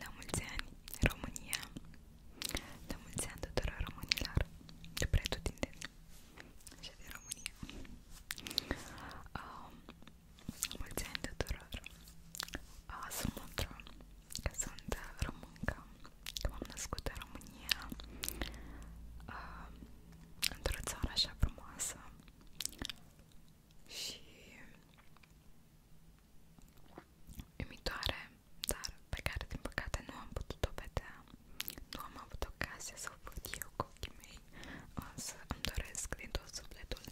La mulți ani, România! La mulți ani tuturor românilor de pretutindeni și de România! Uh, mulți ani tuturor! Uh, sunt mândră că sunt româncă, că m-am născut în România, uh, într-o țară așa frumoasă și umitoare, dar pe care din păcate nu am putut-o vedea, nu am avut ocazia să o văd eu cu ochii mei, însă îmi doresc din tot sufletul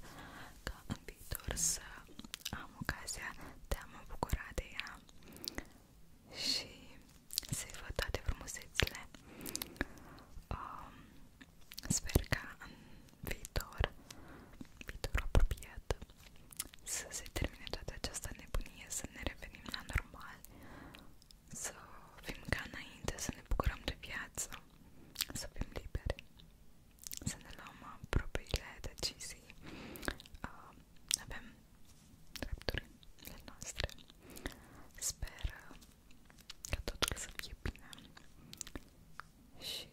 ca în viitor să am ocazia de a mă bucura de ea și să-i văd toate frumusețile. Um, sper că în viitor, viitor apropiat, să se termine toată această nebunie, să ne revenim la normal, să fim ca înainte, să ne bucurăm de viață, să fim liberi, să ne luăm propriile decizii, uh, avem drepturile noastre. Sper uh, ca totul să fie bine și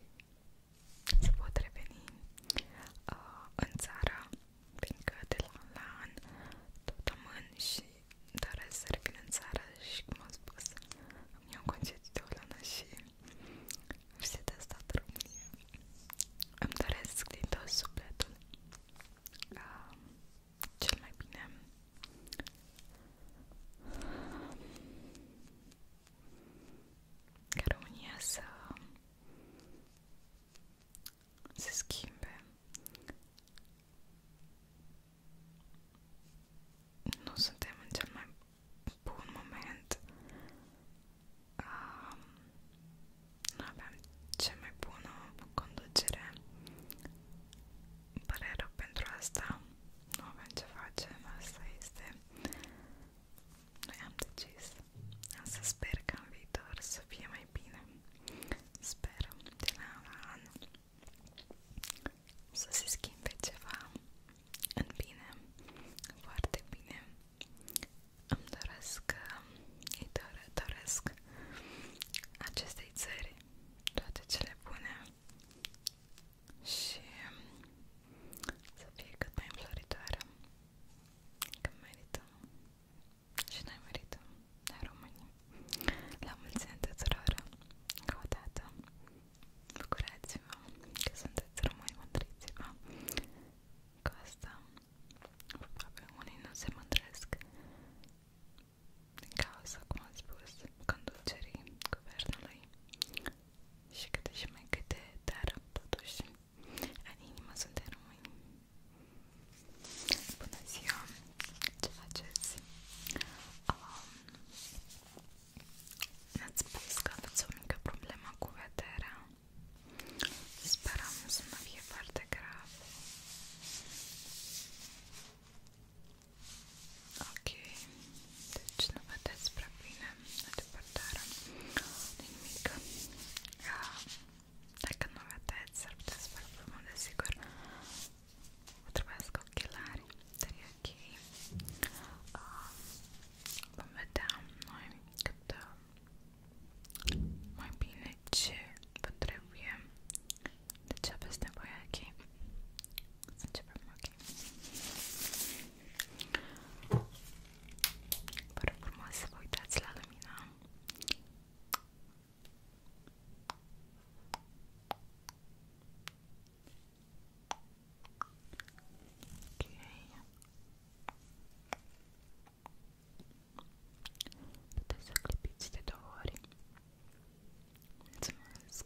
să pot reveni uh, în țară, fiindcă de la an la an tot amân și doresc să revin în țară și, cum am spus, îmi iau concediu de o lună și vizitez toată România. Îmi doresc din tot sufletul uh, cel mai bine ca România să se schimbe. Nu suntem în cel mai bun moment. Um, nu aveam cea mai bună conducere. Îmi pare rău pentru asta. Nu avem ce face. Asta este. Noi am decis. Însă sper că în viitor să fie mai bine. Sper de la an să se schimbe ceva în bine, foarte bine. Îmi doresc, îi doresc acestei țări toate cele bune și um, să fie cât mai înfloritoare, că merită și noi merităm, noi românii. La mulți ani tuturor, încă o dată, bucurați-vă că sunteți români, mândriți-vă că asta, probabil unii nu se mândresc din cauza, cum am spus, conducerii guvernului și câte și mai câte, dar totuși la inimă suntem români. Bună ziua! Ce faceți? Um, Ne-ați spus că aveți o mică problemă cu vederea. Sperăm să nu fie foarte grav. Ok. Deci nu vedeți prea bine la depărtare nimic. Dacă nu vedeți, ar putea să vă problemă, desigur. Vă trebuiesc ochelari, dar e ok. Ah, vom vedea noi cât ah, mai bine ce vă trebuie, de ce aveți nevoie, ok? Începem, ok? Vă rog frumos să vă uitați la lumină. Okay. Puteți să clipiți de două ori. Mulțumesc!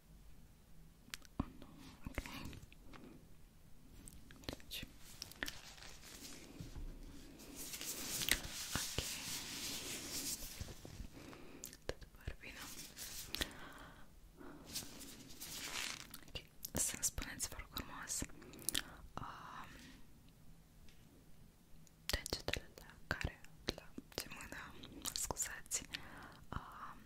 Okay. Deci. Ok. Tot par bine. Ok. Să-mi spuneți, vă rog frumos, um, degetele la care, la ce mână, scuzați, um,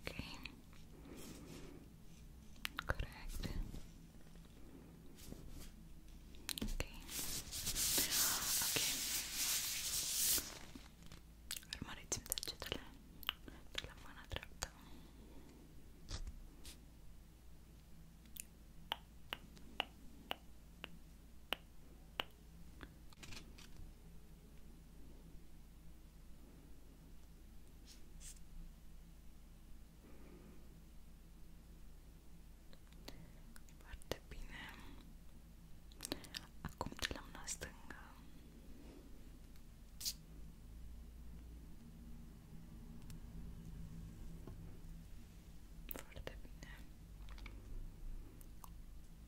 Okay. Correct. Okay. Okay. Urmăriți-mi degetele de la mâna dreaptă. Okay. Foarte bine. Acum de la mâna stângă. Foarte bine.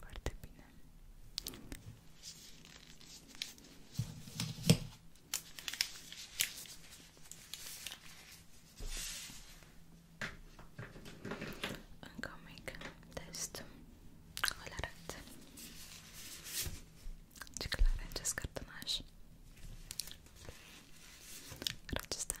Foarte bine. Încă un mic test. Cum le arăt? Ce clar e acest cartonaș. Acesta. Acesta.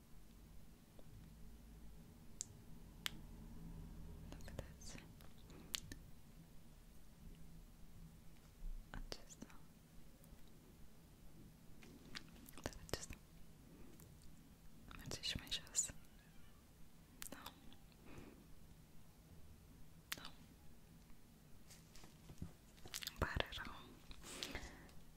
Look at this. I just Look at this. Mas isto mexe Não. Não. Pararão.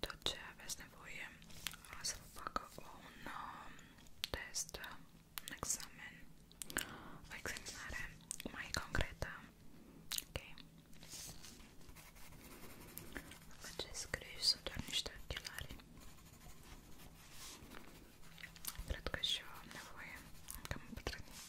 tot ce aveți nevoie să vă facă un um, test, un examen, o examinare mai concretă. Ok? Faceți griji, sunt doar niște ochelari. Cred că și eu am nevoie, că m-am pătrânit.